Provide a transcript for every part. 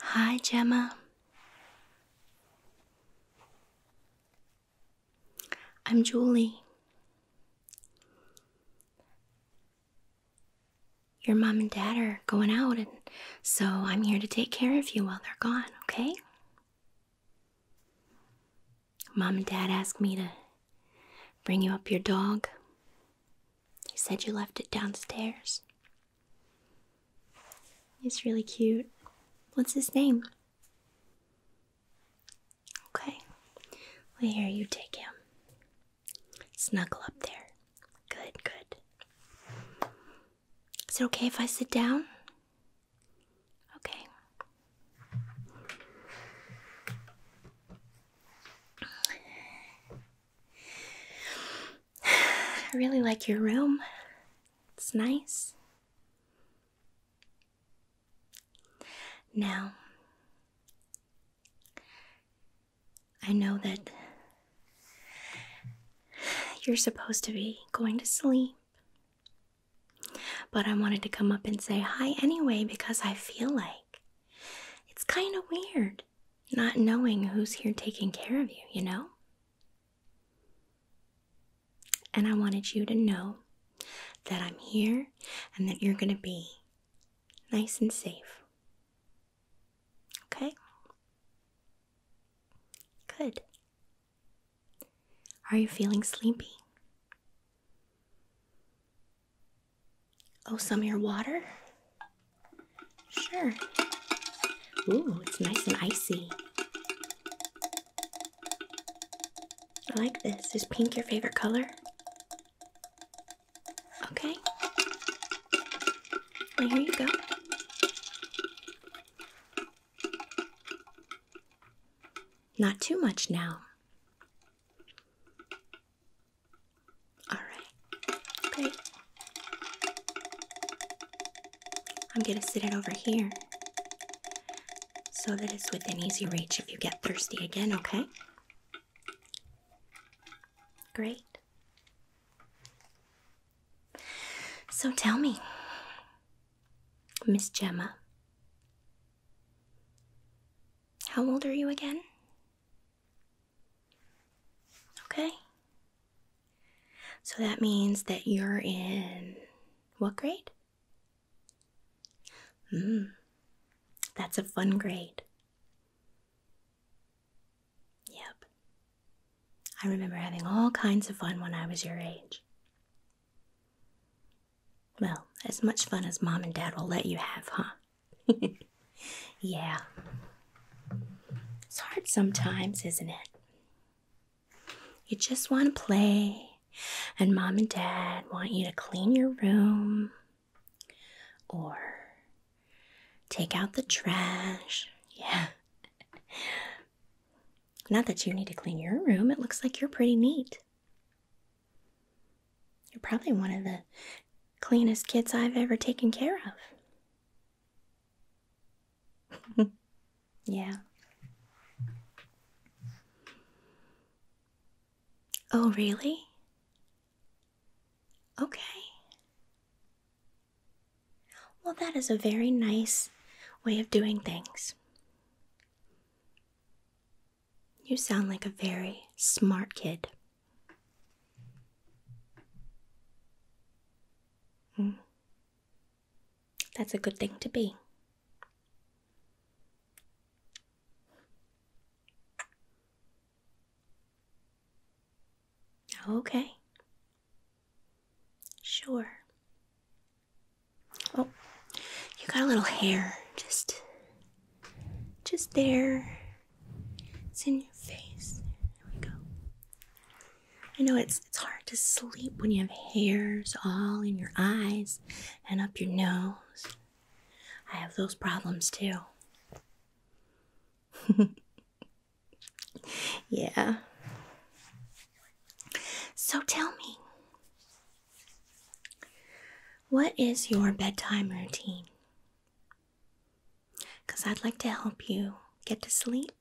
Hi, Gemma. I'm Julie. Your mom and dad are going out, and so I'm here to take care of you while they're gone, okay? Mom and Dad asked me to bring you up your dog. They said you left it downstairs. He's really cute. What's his name? Okay. Well, here, you take him. Snuggle up there. Good, good. Is it okay if I sit down? Okay. I really like your room. It's nice. Now, I know that you're supposed to be going to sleep. But I wanted to come up and say hi anyway because I feel like it's kind of weird not knowing who's here taking care of you, you know? And I wanted you to know that I'm here and that you're going to be nice and safe. Okay? Good. Are you feeling sleepy? Oh, some of your water? Sure. Ooh, it's nice and icy. I like this. Is pink your favorite color? Okay. And here you go. Not too much now. All right, great. I'm going to sit it over here so that it's within easy reach if you get thirsty again, okay? Great. So tell me, Miss Gemma, how old are you again? Okay. So that means that you're in what grade? Mm, that's a fun grade. Yep. I remember having all kinds of fun when I was your age. Well, as much fun as mom and dad will let you have, huh? yeah. It's hard sometimes, isn't it? You just want to play, and mom and dad want you to clean your room or Take out the trash. Yeah. Not that you need to clean your room, it looks like you're pretty neat. You're probably one of the cleanest kids I've ever taken care of. yeah. Oh, really? Okay. Well, that is a very nice way of doing things. You sound like a very smart kid. Hmm. That's a good thing to be. Okay, Sure. Oh, you got a little hair just just there. It's in your face. There we go. I know it's it's hard to sleep when you have hairs all in your eyes and up your nose. I have those problems too. yeah. So tell me, what is your bedtime routine? Because I'd like to help you get to sleep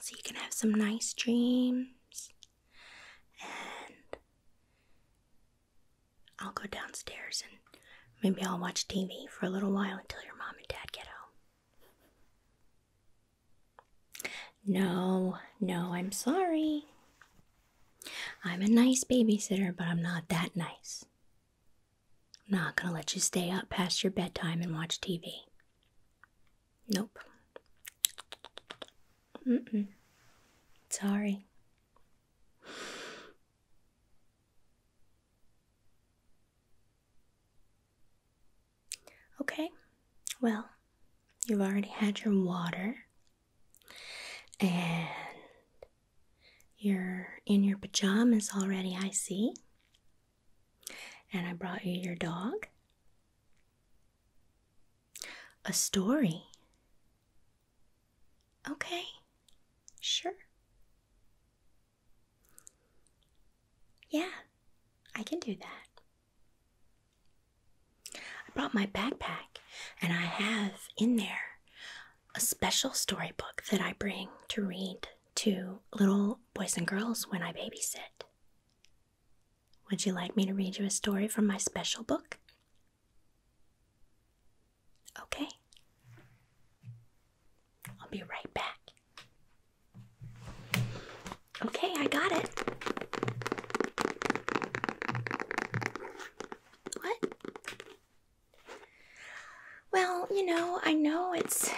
so you can have some nice dreams. And I'll go downstairs and maybe I'll watch TV for a little while until your mom and dad get home. No, no, I'm sorry. I'm a nice babysitter, but I'm not that nice. I'm not gonna let you stay up past your bedtime and watch TV. Nope. Mm-mm. Sorry. Okay, well, you've already had your water and you're in your pajamas already, I see. And I brought you your dog. A story. Okay, sure. Yeah, I can do that. I brought my backpack, and I have in there a special storybook that I bring to read to little boys and girls when I babysit. Would you like me to read you a story from my special book? Okay. I'll be right back. Okay, I got it. What? Well, you know, I know it's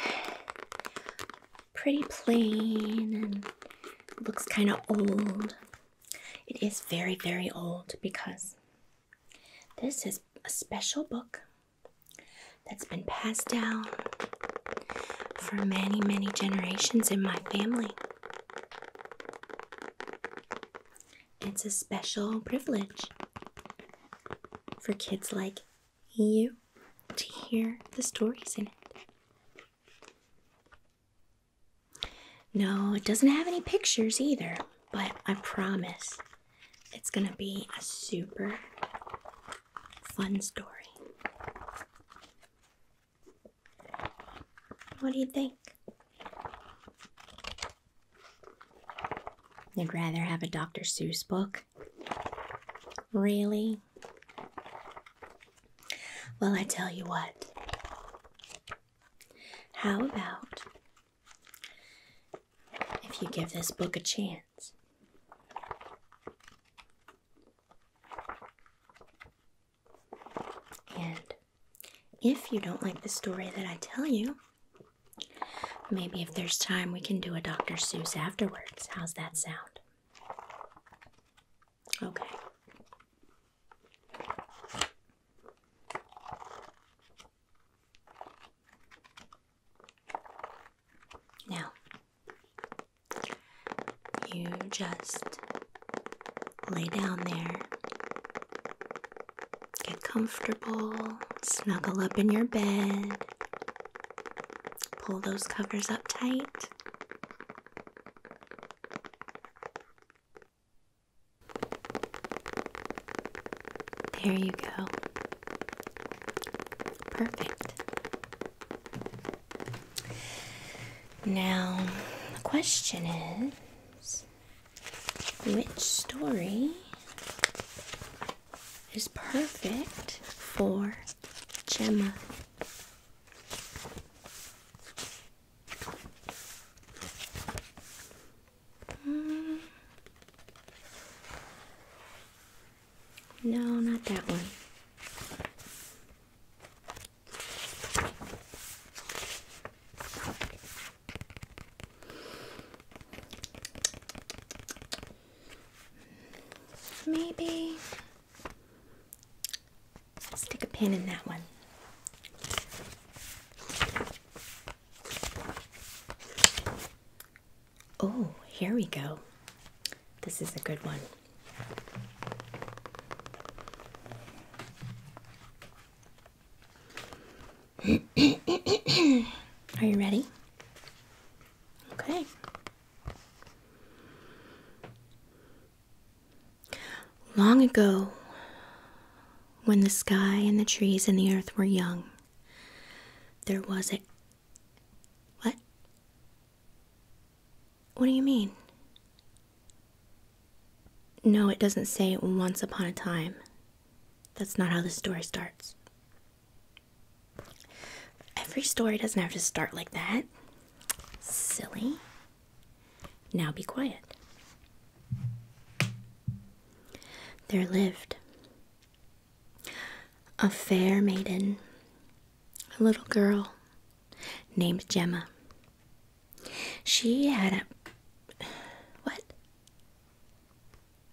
pretty plain and looks kind of old. It is very, very old because this is a special book that's been passed down for many, many generations in my family. It's a special privilege for kids like you to hear the stories in it. No, it doesn't have any pictures either, but I promise it's gonna be a super fun story. What do you think? You'd rather have a Dr. Seuss book? Really? Well, I tell you what. How about if you give this book a chance? And if you don't like the story that I tell you, maybe if there's time we can do a Dr. Seuss afterwards. How's that sound? Okay. Now, you just lay down there, get comfortable, snuggle up in your bed, pull those covers up tight. There you go. Perfect. Now, the question is which story is perfect for Gemma? Mm. No, not that one. Maybe stick a pin in that one. Oh, here we go. This is a good one. Are you ready? Okay. Long ago, when the sky and the trees and the earth were young, there was a. What? What do you mean? No, it doesn't say once upon a time. That's not how the story starts. Every story doesn't have to start like that. Silly. Now be quiet. There lived a fair maiden, a little girl named Gemma. She had a. What?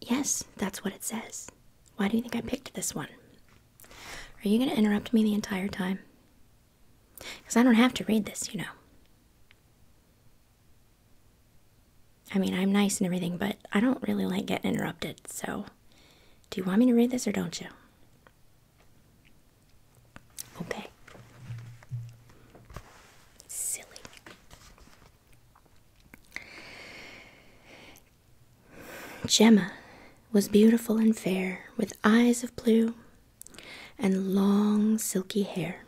Yes, that's what it says. Why do you think I picked this one? Are you going to interrupt me the entire time? Because I don't have to read this, you know. I mean, I'm nice and everything, but I don't really like getting interrupted, so do you want me to read this or don't you? Okay. Silly. Gemma was beautiful and fair, with eyes of blue and long silky hair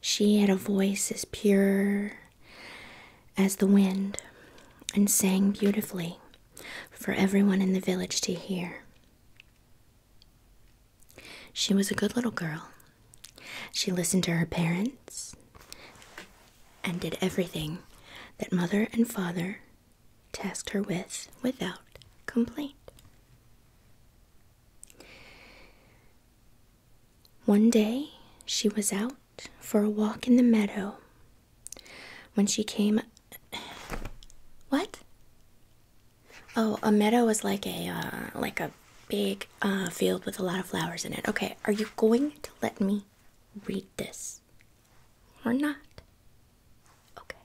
she had a voice as pure as the wind and sang beautifully for everyone in the village to hear. She was a good little girl. She listened to her parents and did everything that mother and father tasked her with without complaint. One day she was out for a walk in the meadow when she came. What? Oh, a meadow is like a uh, like a big uh, field with a lot of flowers in it. Okay, are you going to let me read this or not? Okay.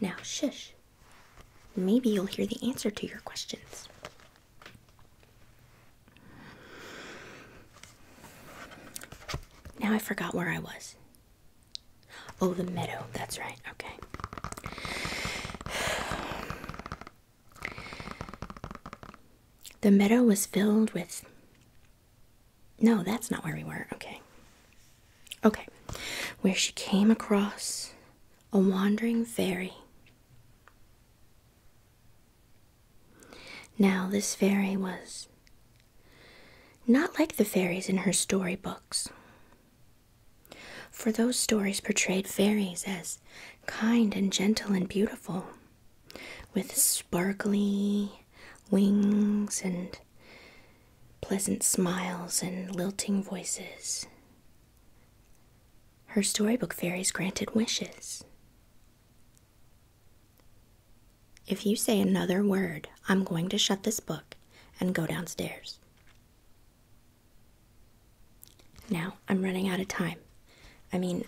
Now, shush. Maybe you'll hear the answer to your questions. Now I forgot where I was. Oh, the meadow. That's right. Okay. The meadow was filled with. No, that's not where we were. Okay. Okay. Where she came across a wandering fairy. Now, this fairy was not like the fairies in her story books. for those stories portrayed fairies as kind and gentle and beautiful, with sparkly wings and pleasant smiles and lilting voices. Her storybook fairies granted wishes. If you say another word, I'm going to shut this book and go downstairs. Now, I'm running out of time. I mean,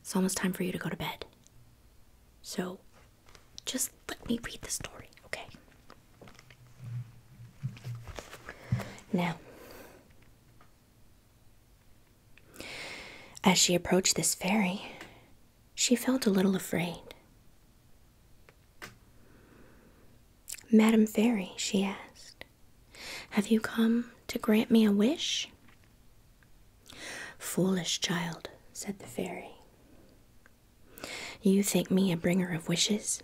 it's almost time for you to go to bed. So, just let me read the story, okay? Now, as she approached this fairy, she felt a little afraid. Madam Fairy, she asked, have you come to grant me a wish? Foolish child, said the fairy. You think me a bringer of wishes?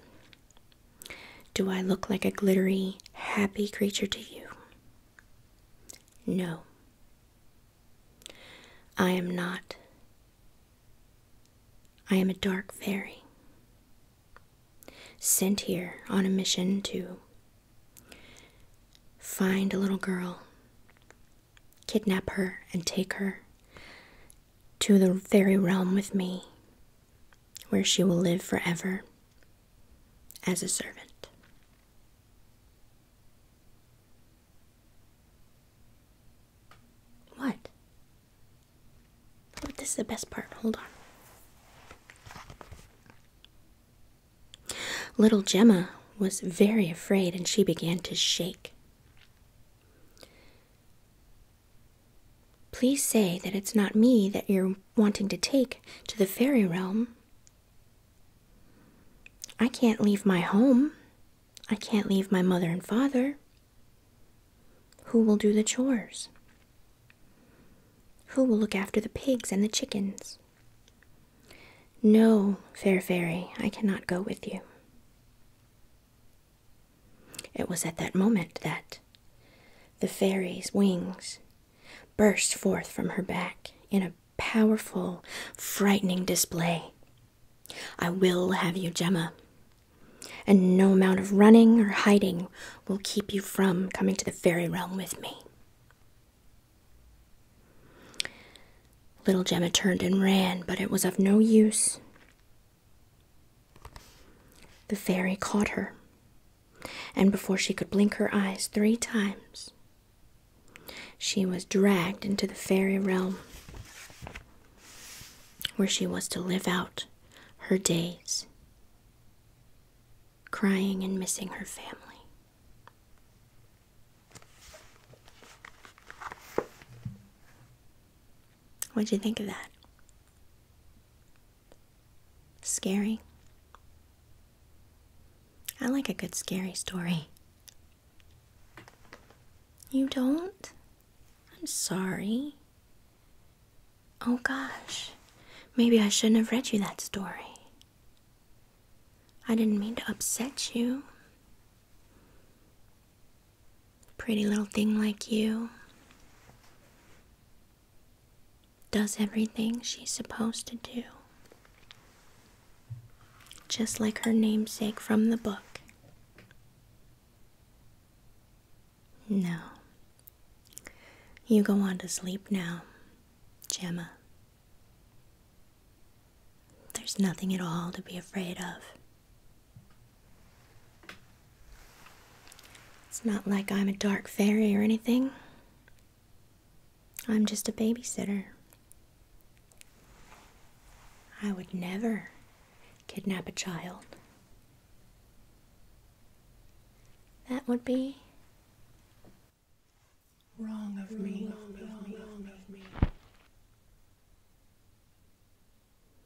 Do I look like a glittery, happy creature to you? No. I am not. I am a dark fairy sent here on a mission to find a little girl, kidnap her, and take her to the very realm with me, where she will live forever as a servant. What? Oh, this is the best part. Hold on. Little Gemma was very afraid and she began to shake. Please say that it's not me that you're wanting to take to the fairy realm. I can't leave my home. I can't leave my mother and father. Who will do the chores? Who will look after the pigs and the chickens? No, fair fairy, I cannot go with you. It was at that moment that the fairy's wings burst forth from her back in a powerful, frightening display. I will have you, Gemma, and no amount of running or hiding will keep you from coming to the fairy realm with me. Little Gemma turned and ran, but it was of no use. The fairy caught her, and before she could blink her eyes three times, she was dragged into the fairy realm where she was to live out her days, crying and missing her family. What'd you think of that? Scary. I like a good scary story. You don't? I'm sorry. Oh gosh, maybe I shouldn't have read you that story. I didn't mean to upset you. Pretty little thing like you does everything she's supposed to do, just like her namesake from the book. No, you go on to sleep now, Gemma. There's nothing at all to be afraid of. It's not like I'm a dark fairy or anything. I'm just a babysitter. I would never kidnap a child. That would be wrong of me. Wrong of me.